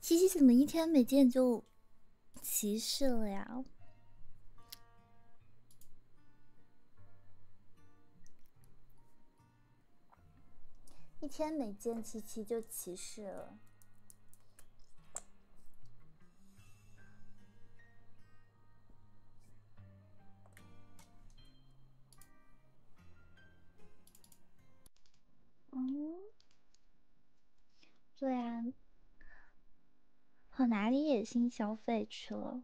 七七怎么一天没见就歧视了呀？一天没见七七就歧视了。嗯，对啊，跑哪里野心消费去了？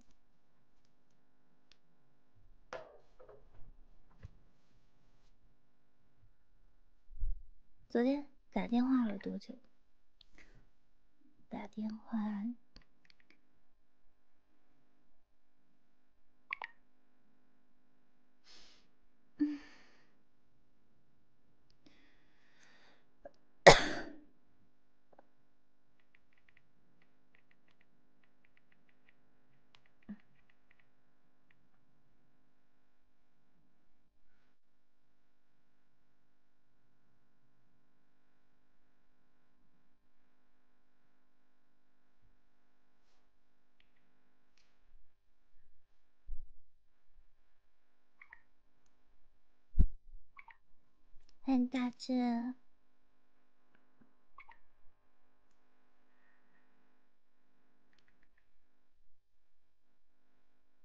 昨天打电话了多久？打电话。欢迎大志。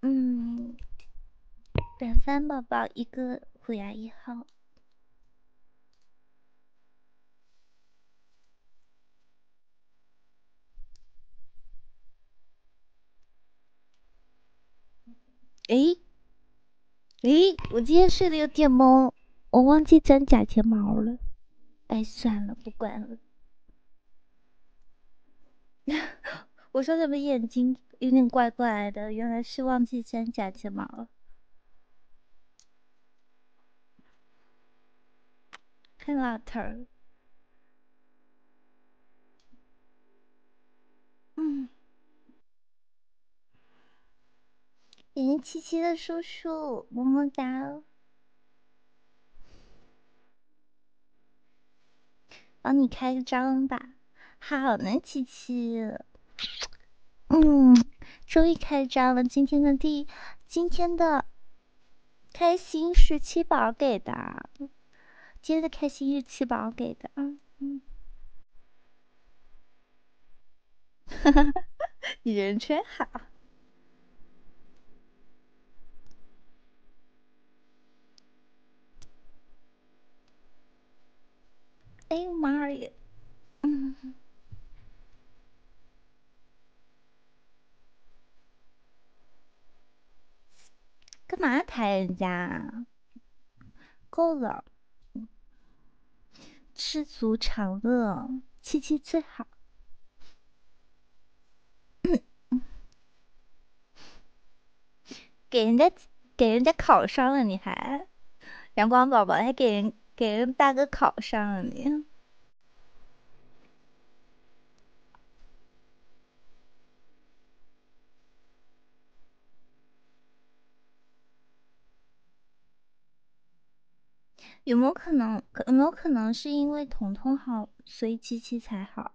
嗯，板翻宝宝一个虎牙一号。诶，诶，我今天睡得有点懵，我忘记粘假睫毛了。哎，算了，不管了。我说怎么眼睛有点怪怪的，原来是忘记粘假睫毛了。看老头。嗯，眼睛七七的叔叔，么么哒。帮你开个张吧，好呢，七七。嗯，终于开张了。今天的第今天的开心是七宝给的，今天的开心是七宝给的。嗯嗯，人真好。哎妈呀！嗯，干嘛抬人家？够了，知足常乐，七七最好。给人家给人家考上了，你还阳光宝宝还给人给人大哥考上了你。有没有可能？有没有可能是因为彤彤好，所以七七才好？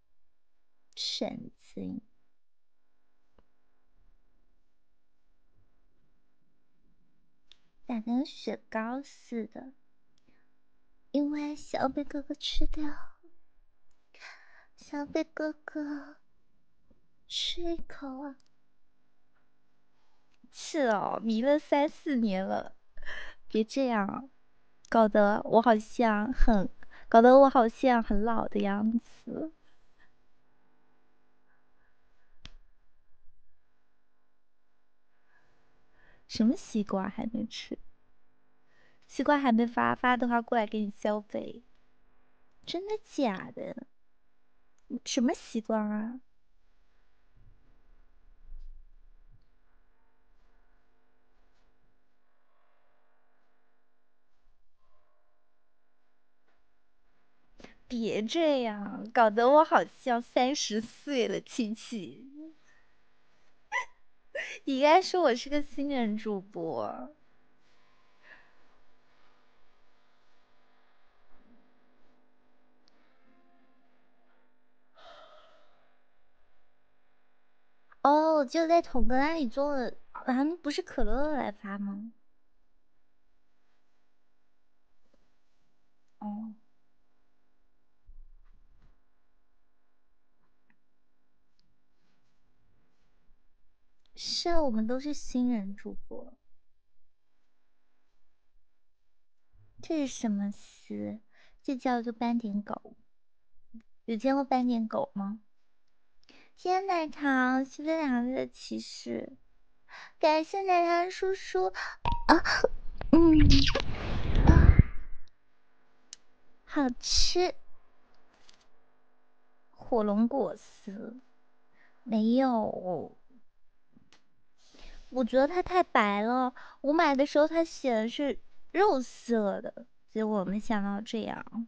神经，但跟雪糕似的，因为想要被哥哥吃掉，想要被哥哥吃一口啊！是哦，迷了三四年了，别这样，搞得我好像很，搞得我好像很老的样子。什么西瓜还没吃？西瓜还没发发的话过来给你消费，真的假的？什么西瓜啊？别这样，搞得我好像三十岁了，亲戚。你应该说我是个新人主播。哦，就在桶哥那里做了，啊，不是可乐来发吗？哦，是啊，我们都是新人主播。这是什么词？这叫做斑点狗。有见过斑点狗吗？谢谢奶茶，谢谢两个的骑士，感谢奶茶叔叔。啊，嗯，好吃。火龙果丝没有，我觉得它太白了。我买的时候它写的是肉色的，结果没想到这样。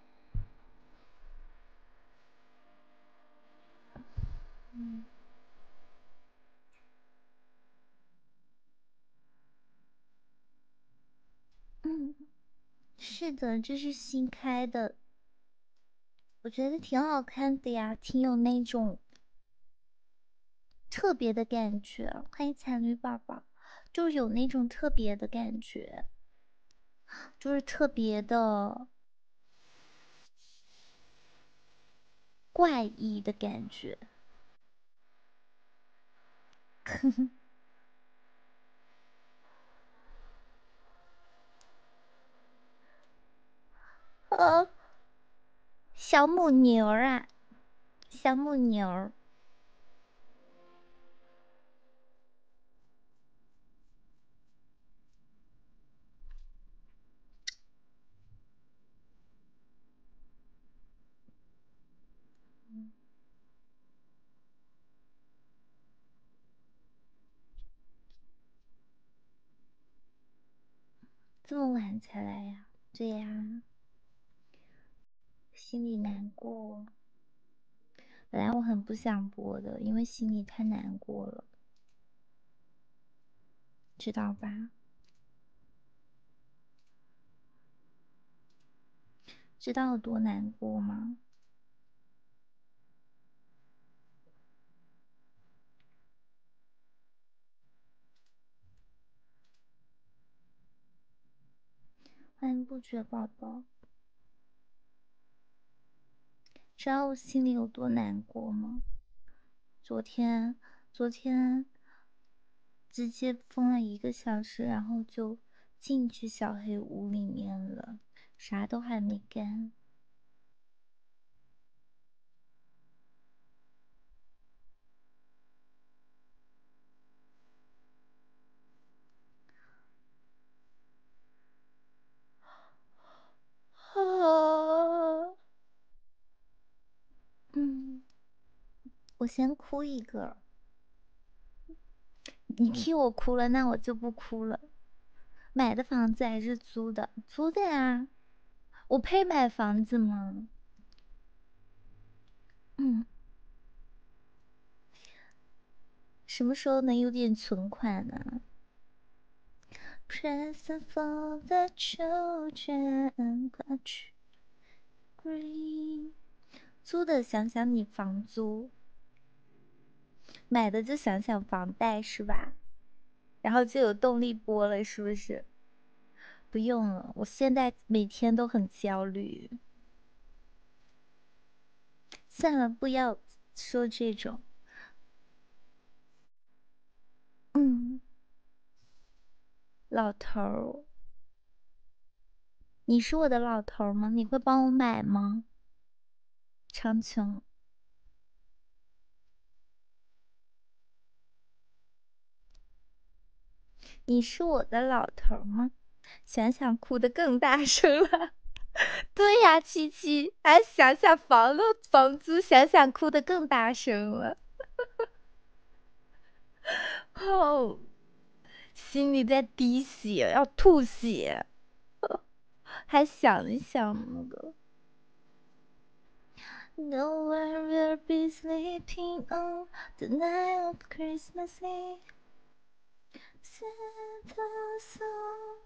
嗯，是的，这是新开的，我觉得挺好看的呀，挺有那种特别的感觉。欢迎彩女宝宝，就有那种特别的感觉。就是特别的怪异的感觉，呵呵，啊，小母牛儿啊，小母牛。儿。嗯，这么晚才来呀？对呀，心里难过。本来我很不想播的，因为心里太难过了，知道吧？知道有多难过吗？欢迎不觉宝宝。知道我心里有多难过吗？昨天，昨天直接封了一个小时，然后就进去小黑屋里面了，啥都还没干。嗯，我先哭一个。你替我哭了，那我就不哭了。买的房子还是租的？租的啊。我配买房子吗？嗯。什么时候能有点存款呢？租的想想你房租，买的就想想房贷是吧？然后就有动力播了，是不是？不用了，我现在每天都很焦虑。算了，不要。说这种，嗯，老头儿，你是我的老头儿吗？你会帮我买吗？长情，你是我的老头儿吗？想想哭得更大声了，对呀，七七，还想想房了房租，想想哭得更大声了，哦，心里在滴血，要吐血，还想一想那个。the song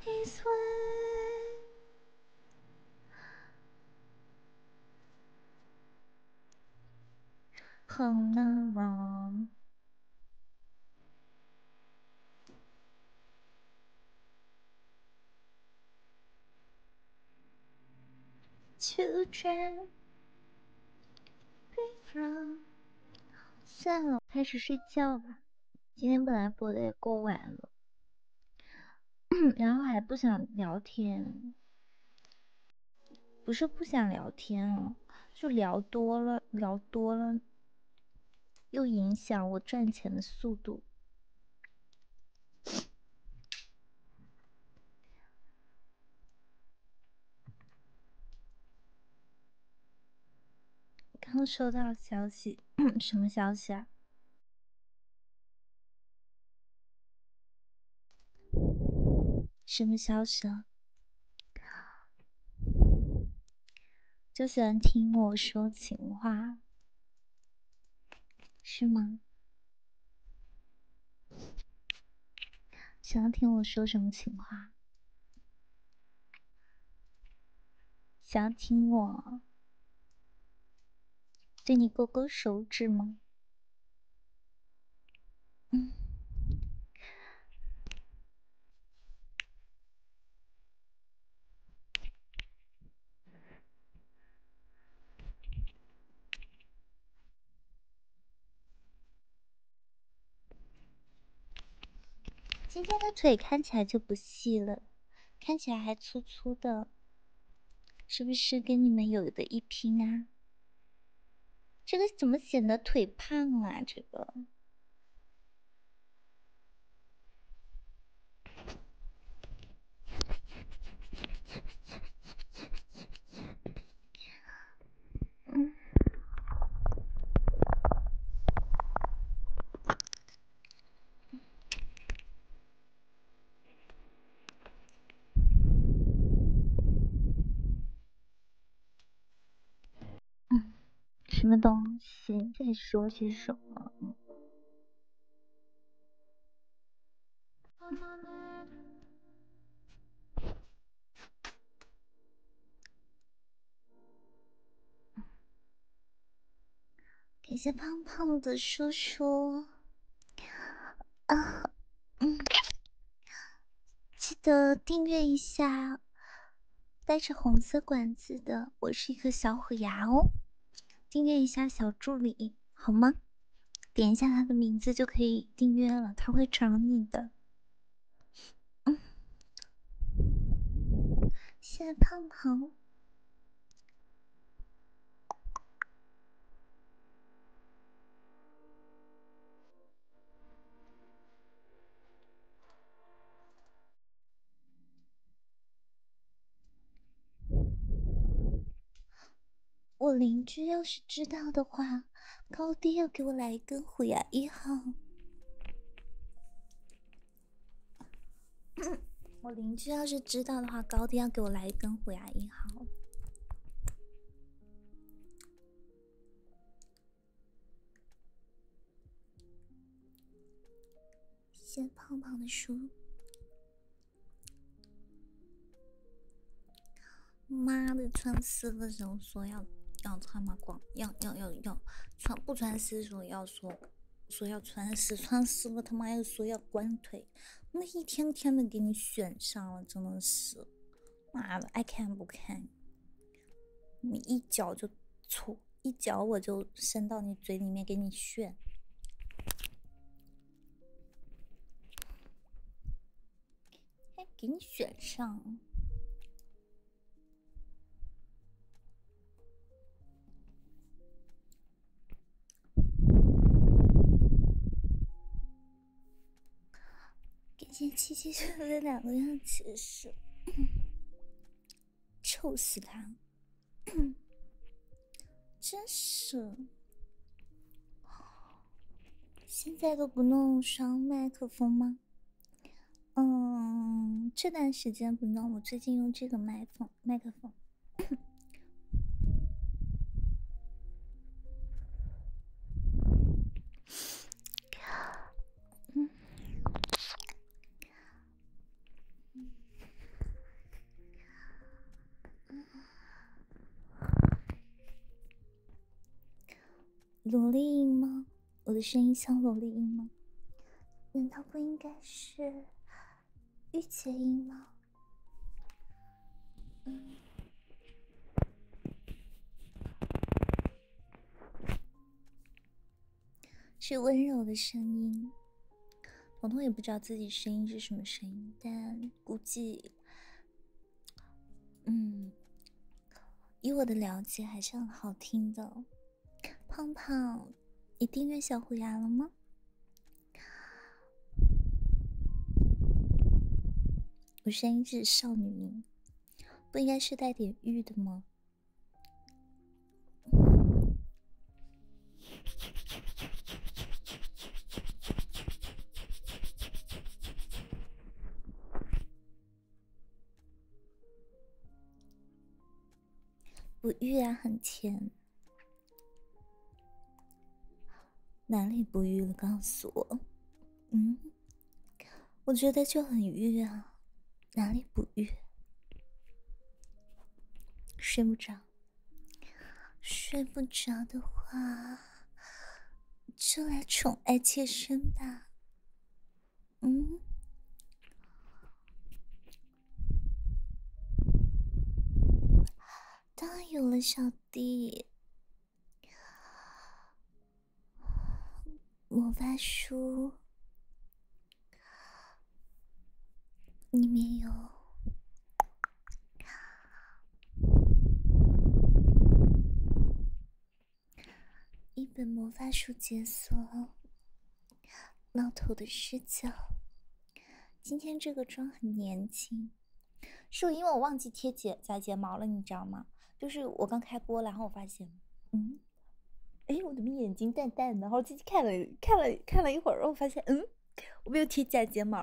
his way. Home the wrong. Children, be from 算了，开始睡觉吧。今天本来播的也够晚了，然后还不想聊天，不是不想聊天啊，就聊多了，聊多了又影响我赚钱的速度。刚收到消息，什么消息啊？什么消息啊？就喜欢听我说情话，是吗？想要听我说什么情话？想亲我对你勾勾手指吗？嗯。今天的腿看起来就不细了，看起来还粗粗的，是不是跟你们有的一拼啊？这个怎么显得腿胖啊？这个？嗯，嗯，什么东西在说些什么？感谢胖胖的叔叔啊，嗯，记得订阅一下带着红色管子的，我是一颗小虎牙哦，订阅一下小助理好吗？点一下他的名字就可以订阅了，他会找你的。嗯，谢谢胖胖。我邻居要是知道的话，高低要给我来一根虎牙一号。我邻居要是知道的话，高低要给我来一根虎牙一号。谢胖胖的书。妈的，穿丝的时候说要要穿吗？光要要要要。穿不穿丝说要说说要穿，丝，穿丝了他妈又说要管腿，那一天天的给你选上了，真的是，妈的爱看不看，你一脚就戳，一脚我就伸到你嘴里面给你炫。给你选上。感谢七七说的两个样，其实臭死他，真是！现在都不弄双麦克风吗？嗯，这段时间不知我最近用这个麦克风。萝莉音吗？我的声音像萝莉音吗？难道不应该是御姐音吗？是温柔的声音。彤彤也不知道自己声音是什么声音，但估计，嗯，以我的了解，还是很好听的。胖胖，你订阅小虎牙了吗？我声音是少女音，不应该是带点玉的吗？不育啊，很甜。哪里不育了？告诉我。嗯，我觉得就很郁啊。哪里不育？睡不着。睡不着的话，就来宠爱妾身吧。嗯，当然有了，小弟，魔法书里面有。一本魔法书解锁，闹头的视角。今天这个妆很年轻，是因为我忘记贴假假睫毛了，你知道吗？就是我刚开播，然后我发现，嗯，哎，我怎么眼睛淡淡的？然后进去看了看了看了一会儿，然后发现，嗯，我没有贴假睫毛。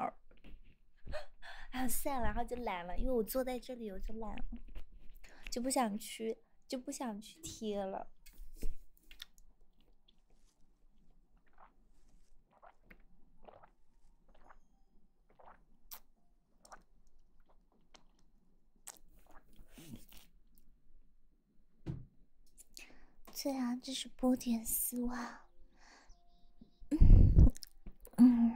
啊，算了，然后就懒了，因为我坐在这里，我就懒了，就不想去。就不想去贴了。对啊，这是波点丝袜。嗯。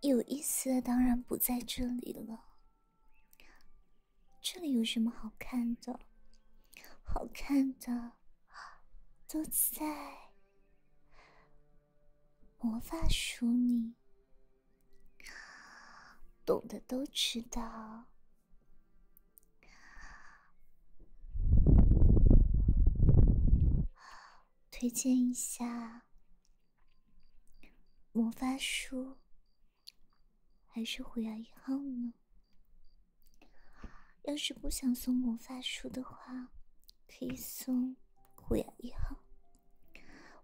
有意思的当然不在这里了，这里有什么好看的？好看的都在魔法书里，懂的都知道。推荐一下。魔法书还是虎牙一号呢？要是不想送魔法书的话，可以送虎牙一号。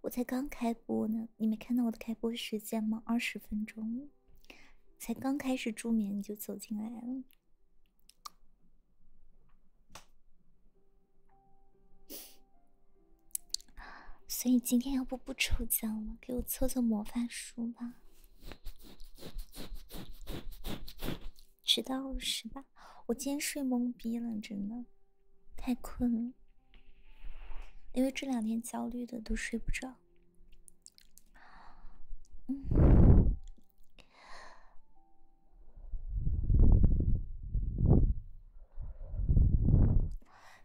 我才刚开播呢，你没看到我的开播时间吗？二十分钟，才刚开始助眠你就走进来了。所以今天要不不抽奖了，给我凑凑魔法书吧，迟到了是吧？我今天睡懵逼了，真的太困了，因为这两天焦虑的都睡不着。嗯。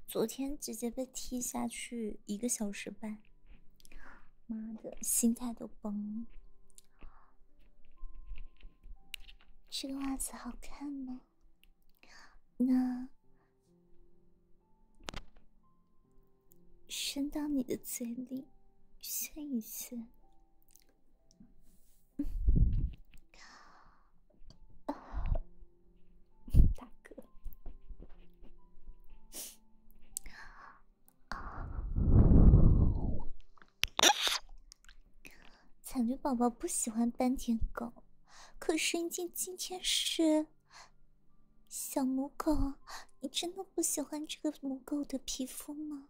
昨天直接被踢下去一个小时半，妈的心态都崩了。这个袜子好看吗？那伸到你的嘴里，炫一炫。大哥，女宝宝不喜欢斑点狗，可是今今天是小母狗，你真的不喜欢这个母狗的皮肤吗？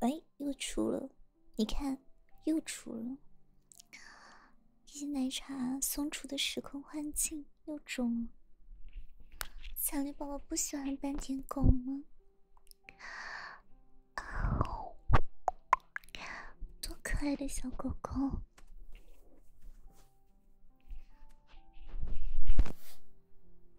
哎，又出了！你看，又出了！这些奶茶松出的时空幻境，又中了。小绿宝宝不喜欢斑点狗吗？多可爱的小狗狗！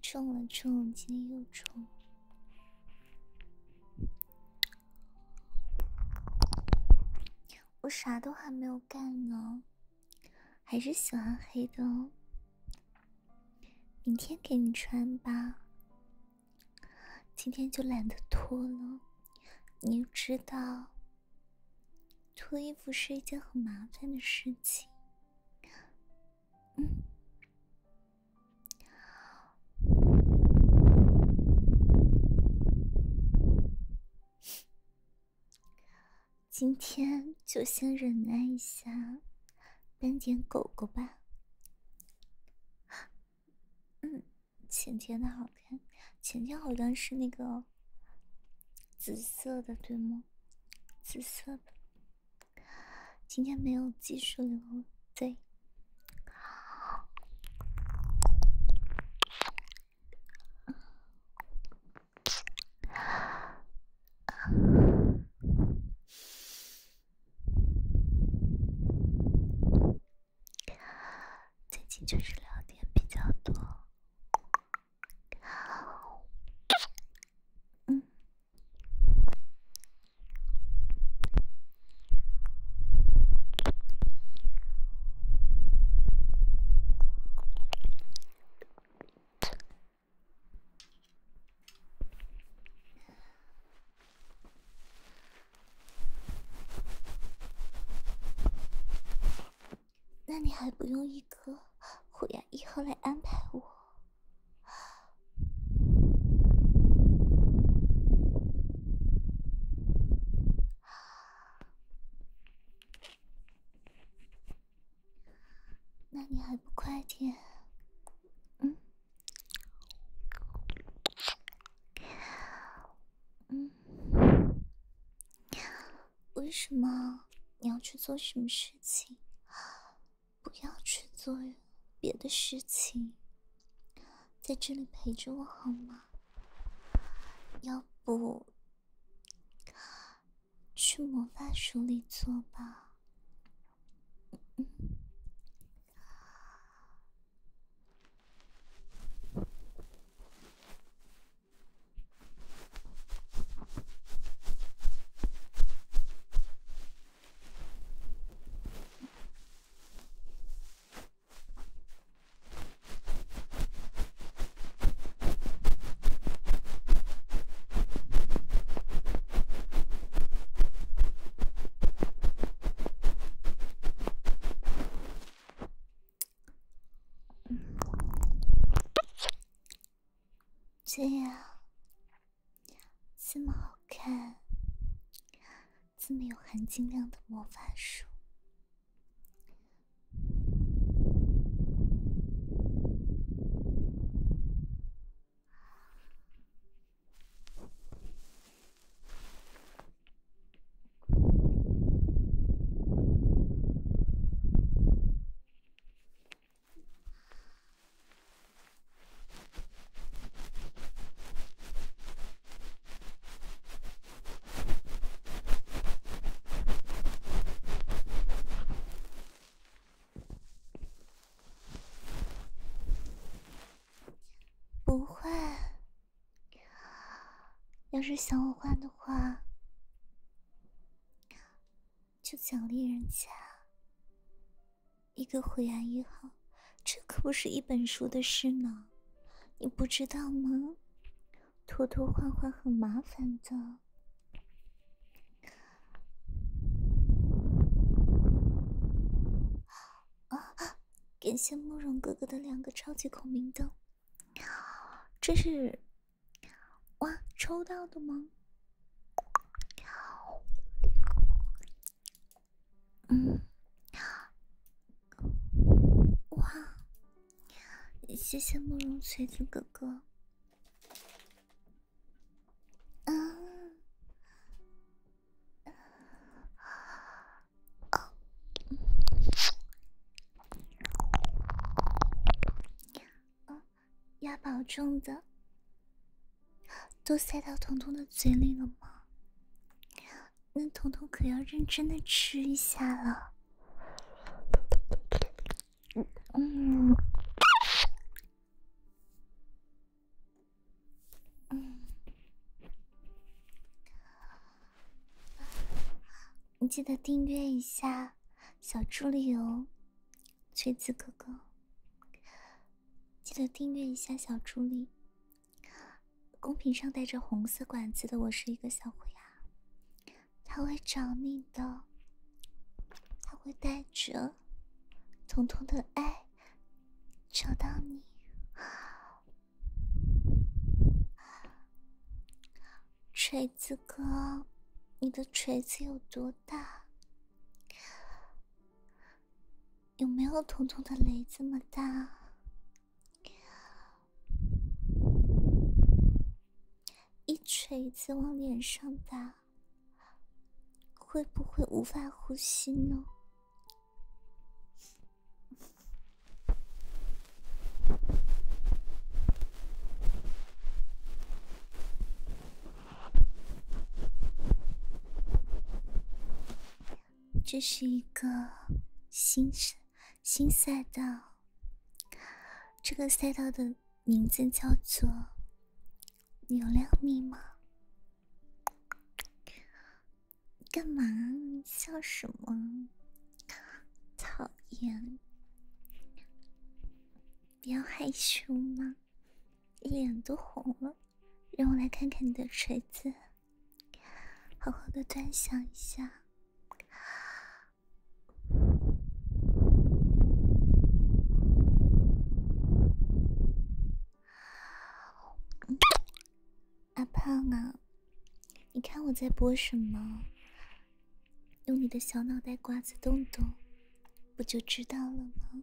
冲了了。今天又冲。我啥都还没有干呢，还是喜欢黑的。明天给你穿吧，今天就懒得脱了。你知道，脱衣服是一件很麻烦的事情。嗯，今天就先忍耐一下，斑点狗狗吧。嗯，浅浅的好看，浅浅好像是那个紫色的对吗？紫色的。今天没有技术流，对。最近就是聊天比较多。嗯。那你还不用一个虎牙一号来安排我？那你还不快点？嗯，为什么？你要去做什么事情？不要去做别的事情，在这里陪着我好吗？要不去魔法书里做吧。这样。这么好看，这么有含金量的魔法书。不会，要是想我换的话，就奖励人家。一个灰暗一号，这可不是一本书的事呢，你不知道吗？涂涂画画很麻烦的。啊！感谢慕容哥哥的两个超级孔明灯，这是哇抽到的吗？嗯哇，谢谢慕容垂子哥哥。嗯。要保重的，都塞到彤彤的嘴里了吗？那彤彤可要认真的吃一下了。嗯嗯，嗯，你记得订阅一下小助理哦。锤子哥哥，记得订阅一下小助理。公屏上带着红色管子的我是一个小虎牙，他会找你的，他会带着彤彤的爱找到你。锤子哥，你的锤子有多大？有没有彤彤的雷这么大？一锤子往脸上打，会不会无法呼吸呢？这是一个新新赛道，这个赛道的名字叫做“流量密码”。干嘛？笑什么？讨厌！不要害羞吗？脸都红了，让我来看看你的锤子，好好的端详一下。阿胖啊，你看我在播什么？用你的小脑袋瓜子动动，不就知道了吗？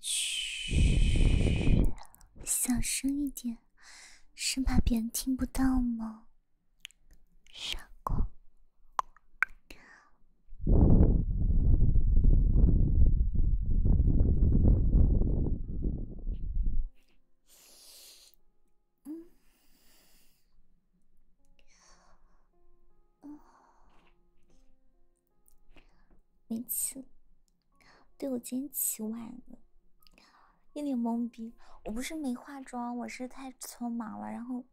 嘘，小声一点，生怕别人听不到吗？傻瓜。没了。对我今天起晚了，一脸懵逼。我不是没化妆，我是太匆忙了，然后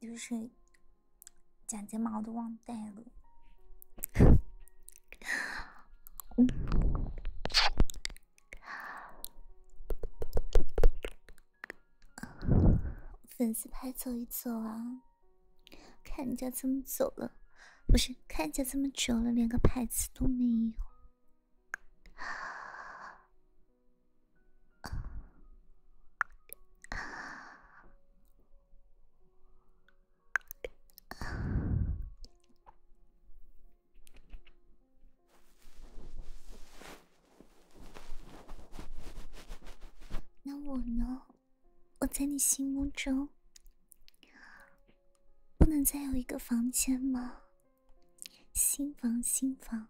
就是假睫毛都忘带了。嗯，粉丝拍走一走啊。看家这么久了，不是看家这么久了，连个牌子都没有。那我呢？我在你心目中，不能再有一个房间吗？新房，新房，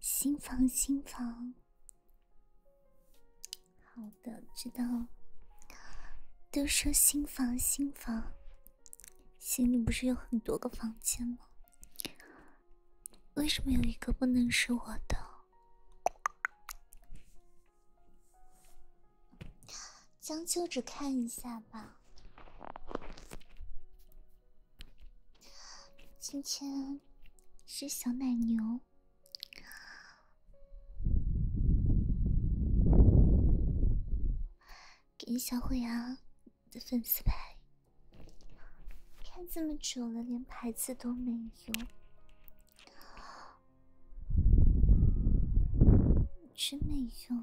新房，新房。好的，知道了。都说新房，新房，心里不是有很多个房间吗？为什么有一个不能是我的？将就着看一下吧。今天是小奶牛，给小虎牙。的粉丝牌，看这么久了，连牌子都没有，真没有。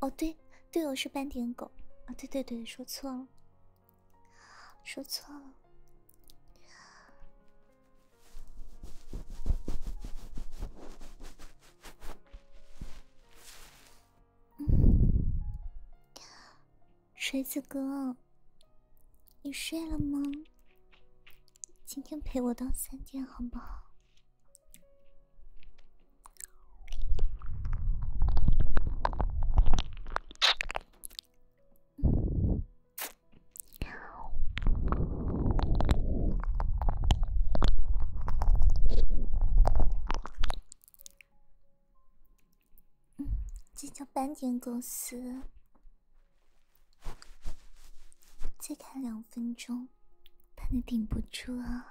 哦，对，队友是斑点狗啊，对对对，说错了，说错了。锤子哥，你睡了吗？今天陪我到三点好不好？这叫搬点公司，再看两分钟，怕你顶不住啊！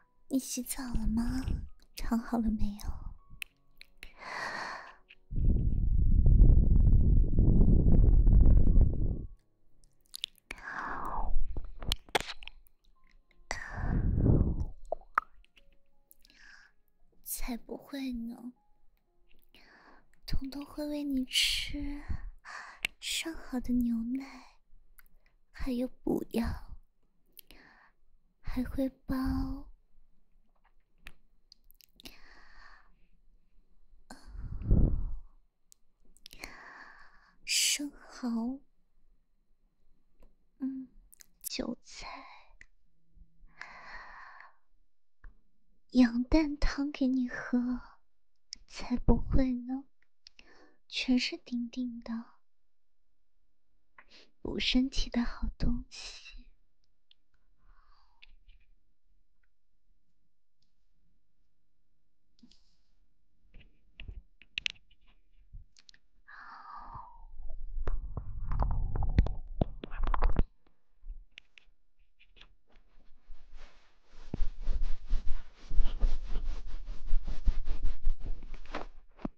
你洗澡了吗？躺好了没有？才不会呢！彤彤会喂你吃上好的牛奶，还有补药。还会包生蚝，嗯，韭菜，羊蛋汤给你喝，才不会呢，全是顶顶的。补身体的好东西。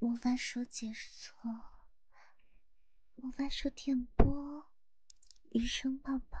魔法书解锁，魔法书点播，余生棒棒。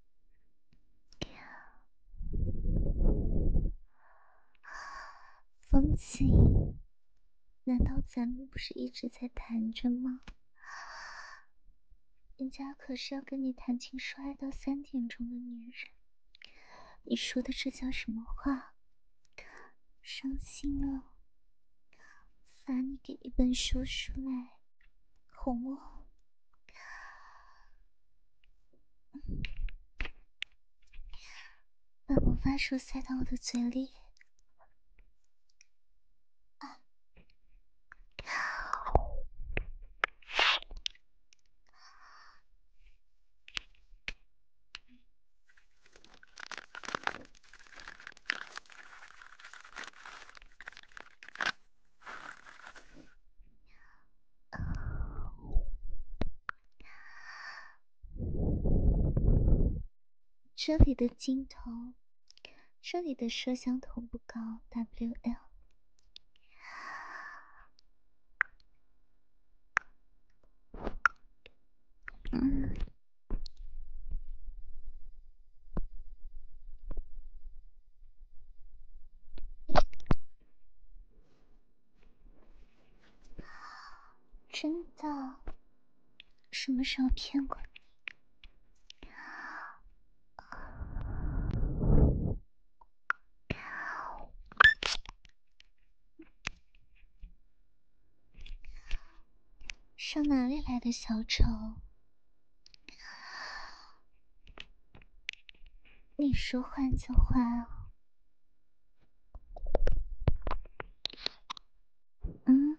风景？难道咱们不是一直在谈着吗？人家可是要跟你谈情说爱到三点钟的女人，你说的这叫什么话？伤心了，烦你给一本书出来。红墨，把魔法书塞到我的嘴里。这里的镜头，这里的摄像头不高，WL。真的？什么时候骗过你？上哪里来的小丑？你说换就换，嗯？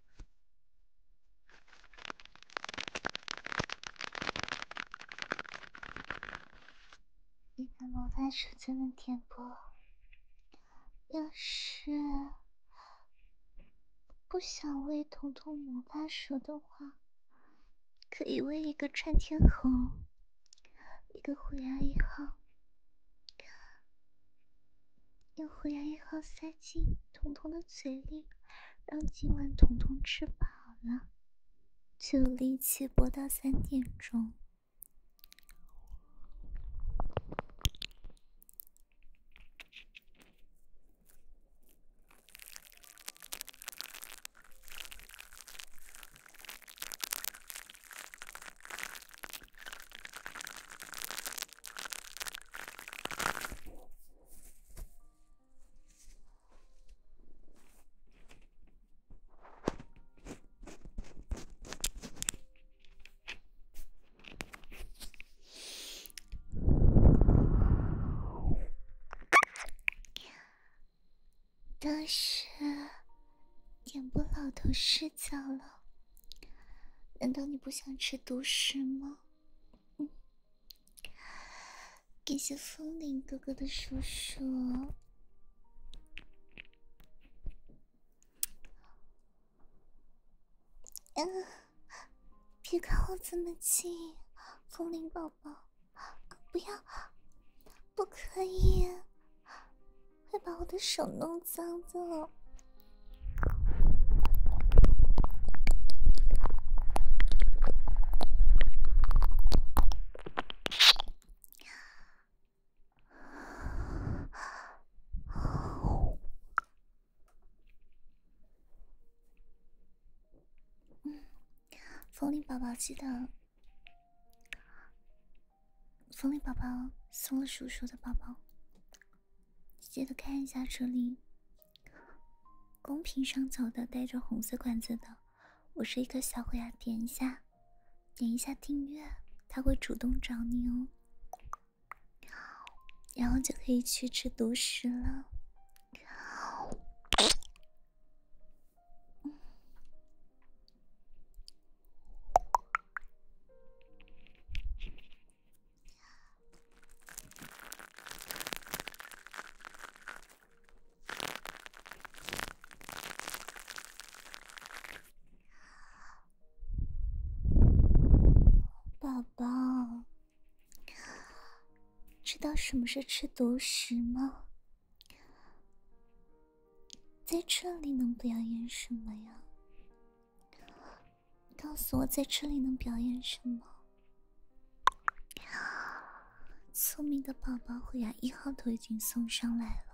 离开魔法手就能点播，要是不想喂彤彤魔法手的话，可以喂一个穿天红，一个虎牙一号。用虎牙一号塞进彤彤的嘴里，让今晚彤彤吃饱了，就有力气播到三点钟。但是，点播老头睡觉了。难道你不想吃独食吗？感谢风铃哥哥的叔叔。嗯，别靠我这么近，风铃宝宝，不要，不可以，快把我的手弄脏了。风铃宝宝记得，风铃宝宝送了叔叔的包包。记得看一下这里，公屏上走的带着红色管子的，我是一个小虎牙，点一下，点一下订阅，他会主动找你哦，然后就可以去吃独食了。宝宝，知道什么是吃独食吗？在这里能表演什么呀？告诉我在这里能表演什么？聪明的宝宝虎牙一号都已经送上来了。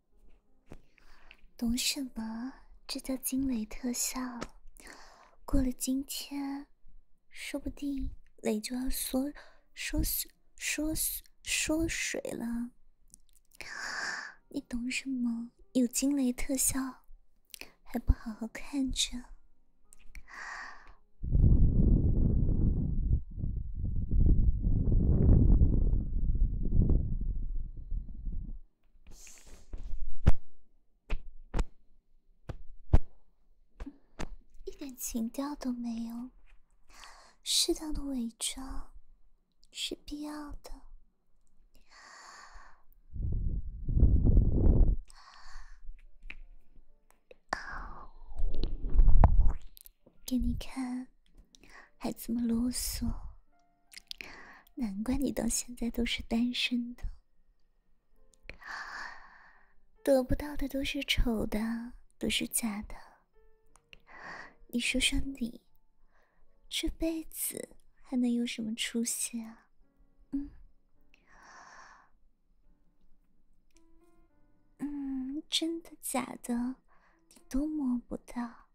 懂什么？这叫惊雷特效。过了今天，说不定雷就要缩、缩、缩、缩、水了。你懂什么？有惊雷特效，还不好好看着。一点情调都没有，适当的伪装是必要的。给你看，还这么啰嗦？难怪你到现在都是单身的，得不到的都是丑的，都是假的。你说说你，这辈子还能有什么出息啊？嗯，嗯，真的假的？你都摸不到。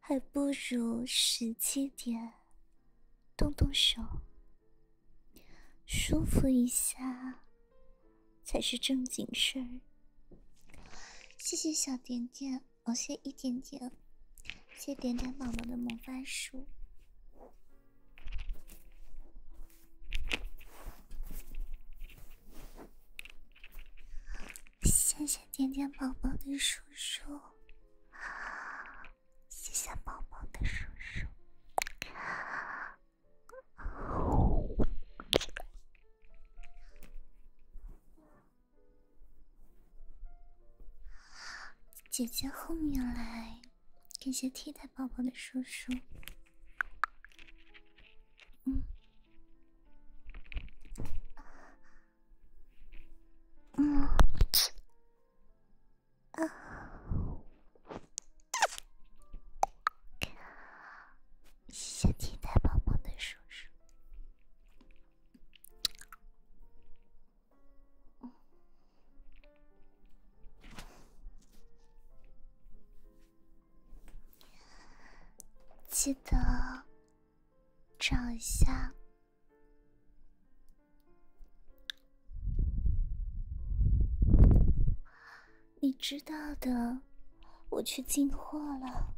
还不如实际点，动动手，舒服一下才是正经事儿。谢谢小点点，哦，谢一点点，谢点点宝宝的魔法书。谢谢点点宝宝的叔叔，谢谢宝宝的叔叔，姐姐后面来，感谢替代宝宝的叔叔，嗯。嗯，啊，谢谢替代宝宝的叔叔，记得找一下。你知道的，我去进货了。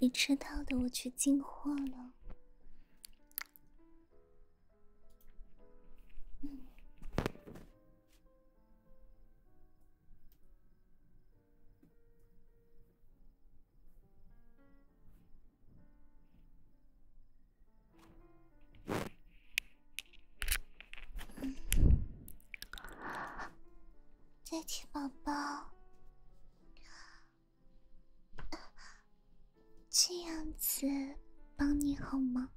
你知道的，我去进货了。嗯。再一宝宝，这样子帮你好吗？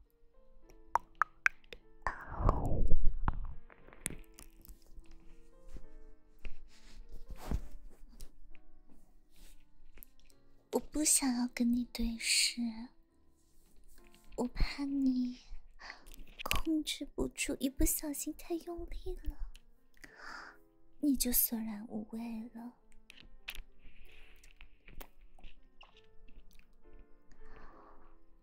我不想要跟你对视，我怕你控制不住，一不小心太用力了，你就索然无味了。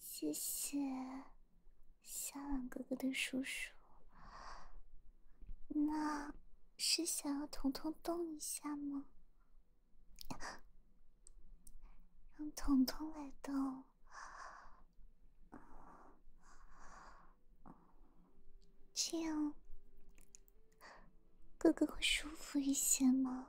谢谢夏朗哥哥的叔叔，那是想要彤彤动一下吗？让彤彤来动，这样哥哥会舒服一些吗？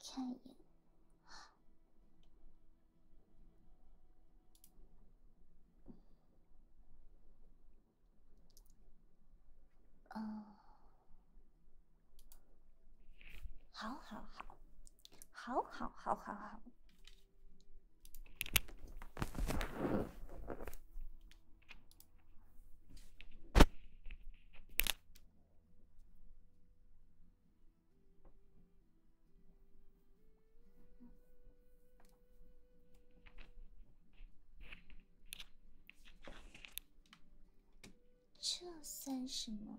看一眼，嗯，好好好，好好好好好。这算什么？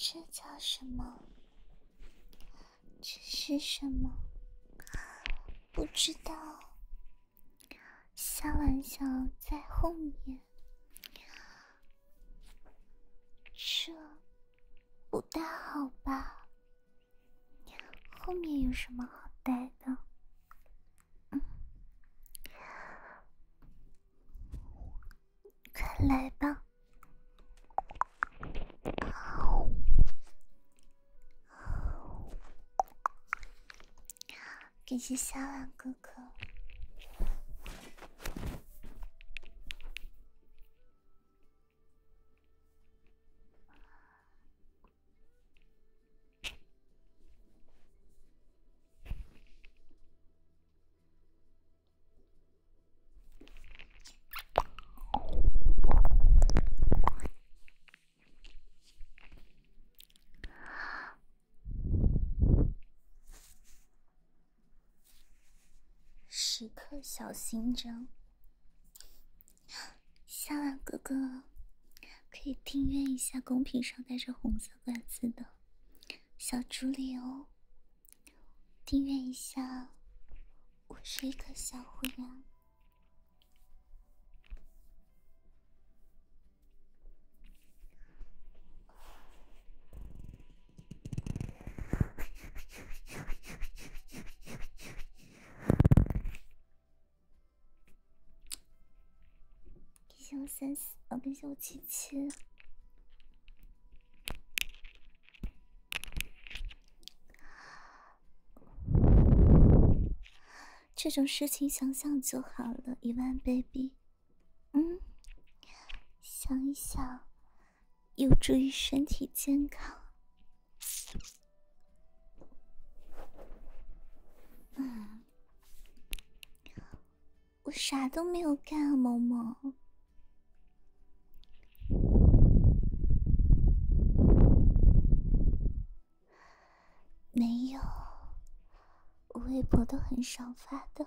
这叫什么？这是什么？不知道，小玩笑在后面。这不太好吧？后面有什么好待的？嗯，快来吧！感谢小婉哥哥。时刻小心着。夏晚哥哥，可以订阅一下公屏上带着红色罐子的小助理哦。订阅一下，我是一个小虎牙。谢谢我三十，感谢我七七。这种事情想想就好了，一万 baby。嗯，想一想。有助于身体健康。嗯，我啥都没有干，萌萌。没有，我微博都很少发的。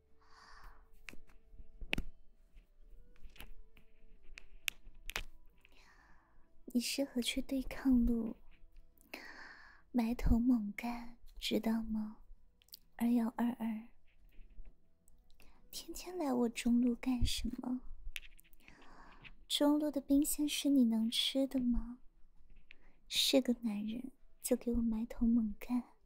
你适合去对抗路，埋头猛干，知道吗？二幺二二，天天来我中路干什么？中路的兵线是你能吃的吗？是个男人就给我埋头猛干。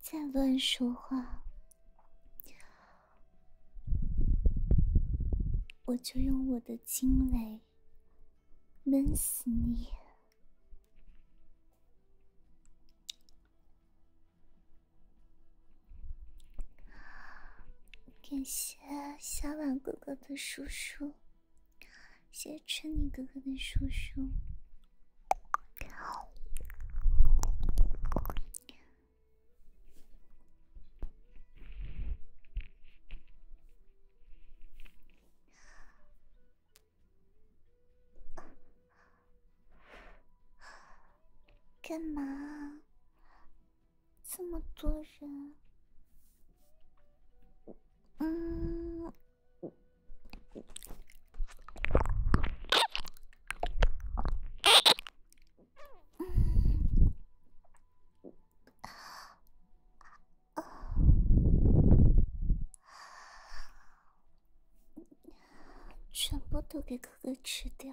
再乱说话，我就用我的惊雷闷死你！感谢小婉哥哥的叔叔。谢春泥哥哥的叔叔。干嘛？这么多人？嗯。全部都给哥哥吃掉。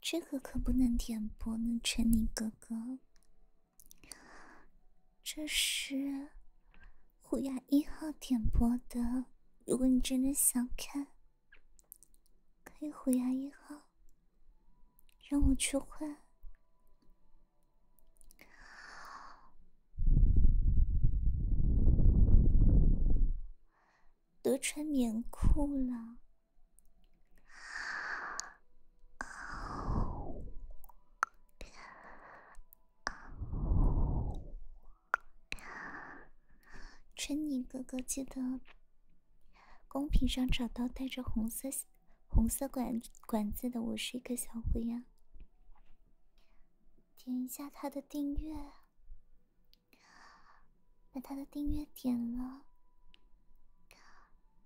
这个可不能点播呢，陈宁哥哥。这是虎牙一号点播的，如果你真的想看，可以虎牙一号让我去换。都穿棉裤了。春妮哥哥，记得公屏上找到带着红色红色管管子的我是一个小灰羊，点一下他的订阅。那他的订阅点了，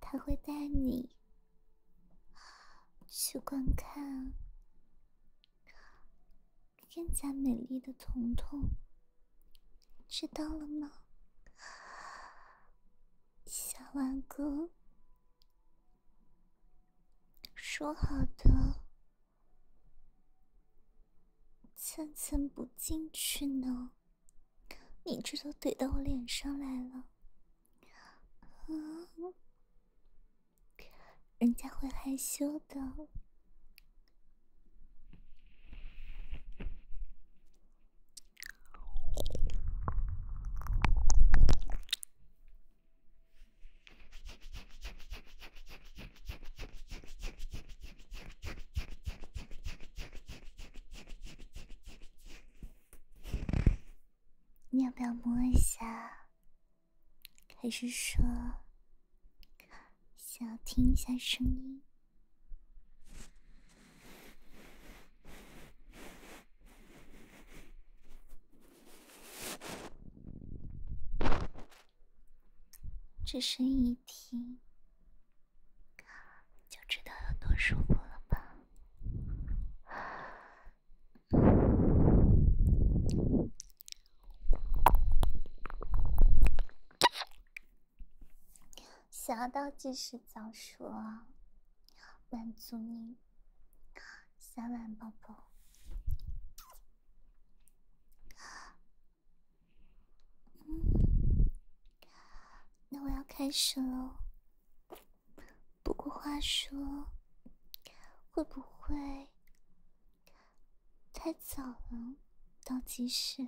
他会带你去观看更加美丽的彤彤，知道了吗，小万哥？说好的，怎怎不进去呢？你这都怼到我脸上来了，啊！人家会害羞的。你要不要摸一下？还是说，想听一下声音？这声音听……就知道有多舒服了吧！想要倒计时早说，满足你三万宝宝。那我要开始了。不过话说，会不会太早了？倒计时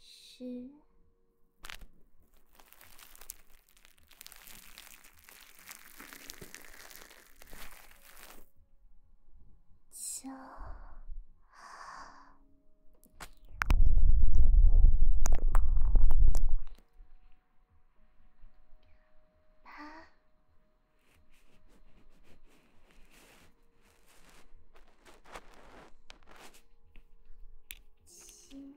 十。九、八、七。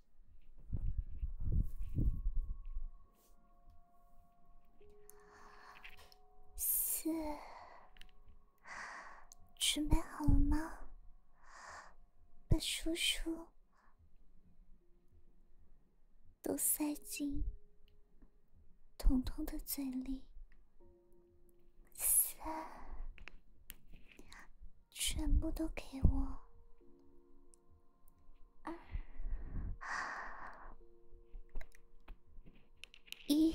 四，准备好了吗？把叔叔都塞进彤彤的嘴里。三。全部都给我！一。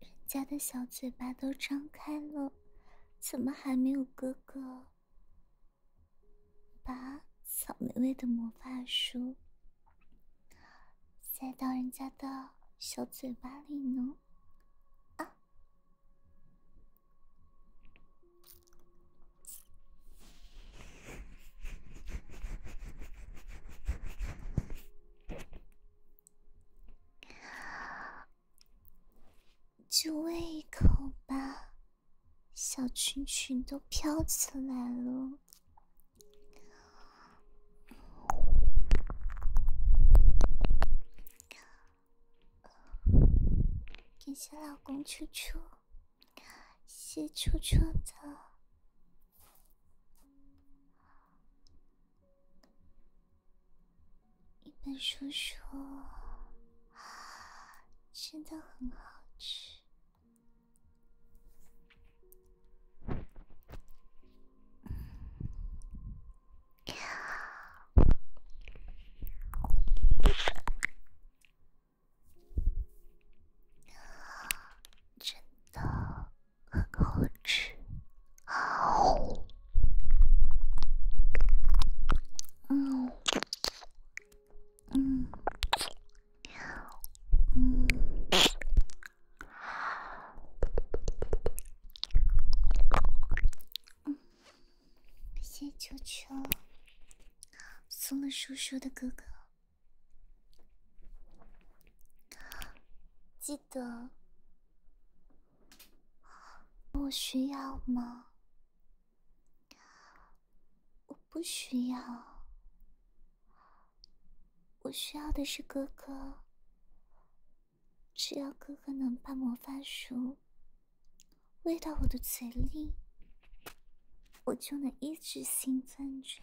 人家的小嘴巴都张开了，怎么还没有哥哥把草莓味的魔法书塞到人家的小嘴巴里呢？啊！就喂一口吧，小裙裙都飘起来了。感谢老公初初，谢初初的。一本书说，真的很好吃，真的。好吃，好，嗯，嗯，谢谢球送了叔叔的哥哥，记得。我需要吗？我不需要。我需要的是哥哥。只要哥哥能把魔法书喂到我的嘴里，我就能一直兴奋着。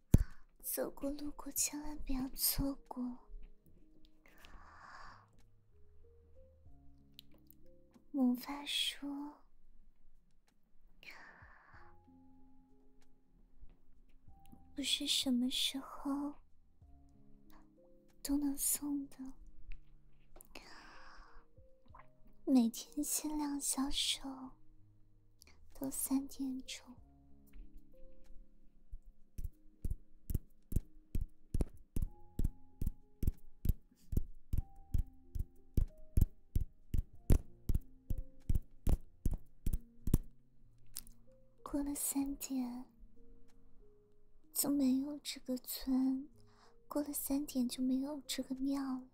走过路过，千万不要错过。魔法书不是什么时候都能送的，每天限量销售。都三点钟，过了三点就没有这个村，过了三点就没有这个庙了。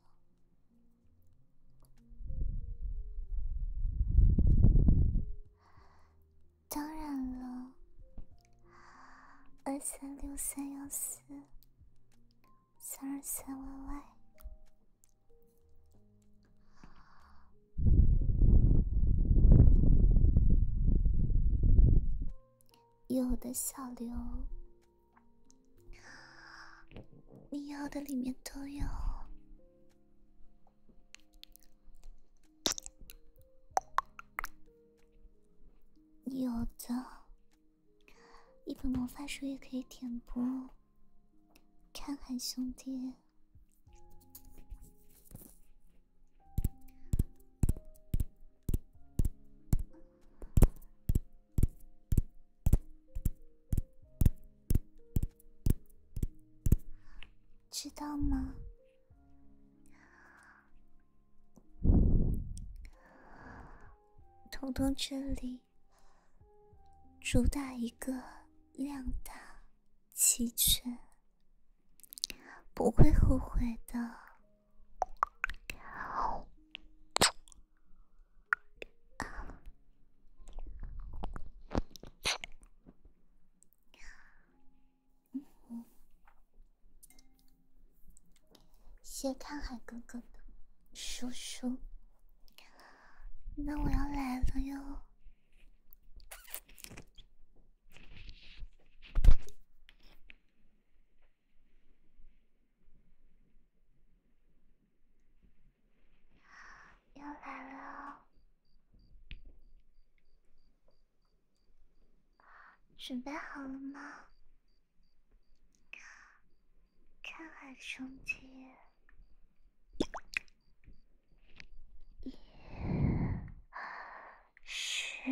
当然了，二三六三幺四三二三 yy，有的小刘。你要的里面都有，有的，一本魔法书也可以填补。看海兄弟。知道吗，彤彤？这里主打一个量大齐全，不会后悔的。谢看海哥哥的叔叔，那我要来了哟。又来了，准备好了吗？看海松鸡，一、二、十。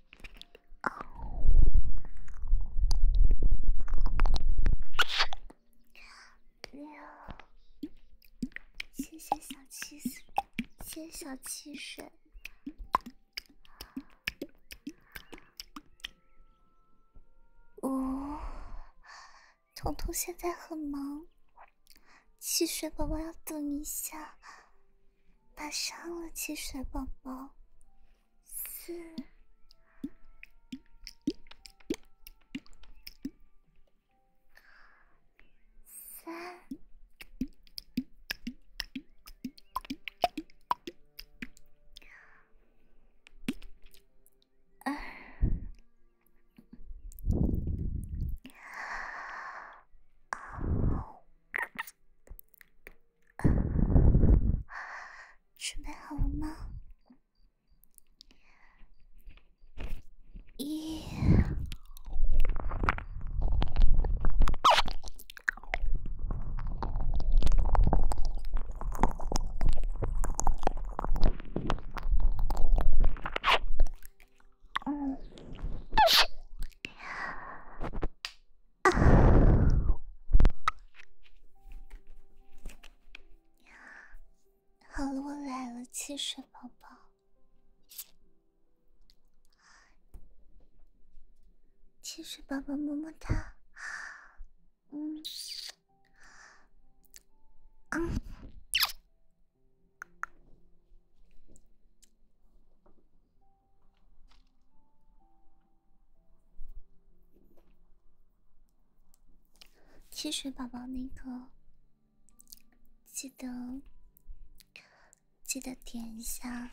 谢谢小汽水，谢谢小汽水。哦，彤彤现在很忙，汽水宝宝要等一下。马伤了，汽水宝宝，四、三、二、一。准备好了吗？一。嗯，好了，我来了，汽水宝宝，汽水宝宝，么么哒，嗯，嗯。汽水宝宝那个，记得记得点一下。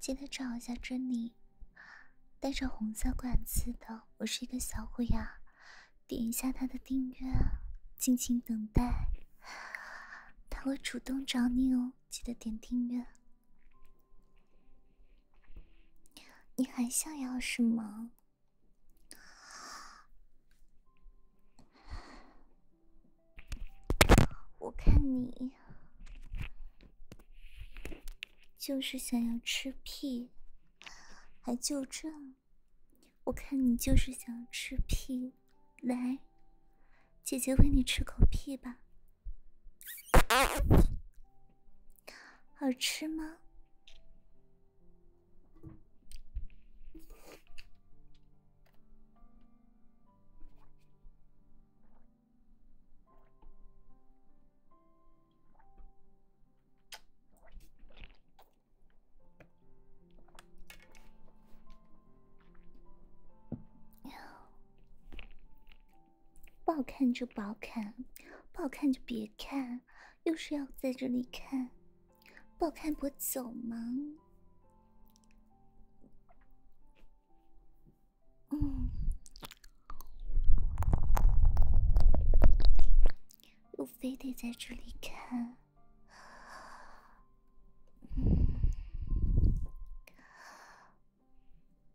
记得找一下珍妮，带着红色管子的，我是一个小虎牙。点一下他的订阅，静静等待，他会主动找你哦。记得点订阅。你还想要什么？我看你就是想要吃屁，还就这？我看你就是想吃屁，来，姐姐喂你吃口屁吧。好吃吗？不好看就不好看，不好看就别看，又是要在这里看，不好看不走吗？嗯，又非得在这里看嗯。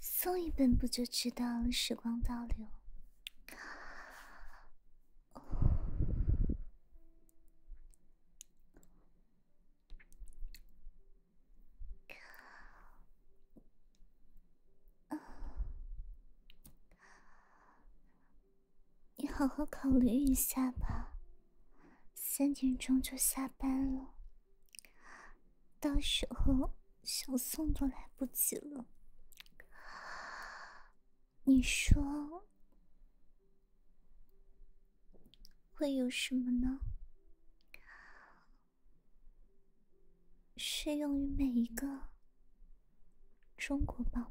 送一本不就知道了？时光倒流？你好好考虑一下吧，三点钟就下班了，到时候小宋都来不及了。你说会有什么呢？适用于每一个中国宝宝。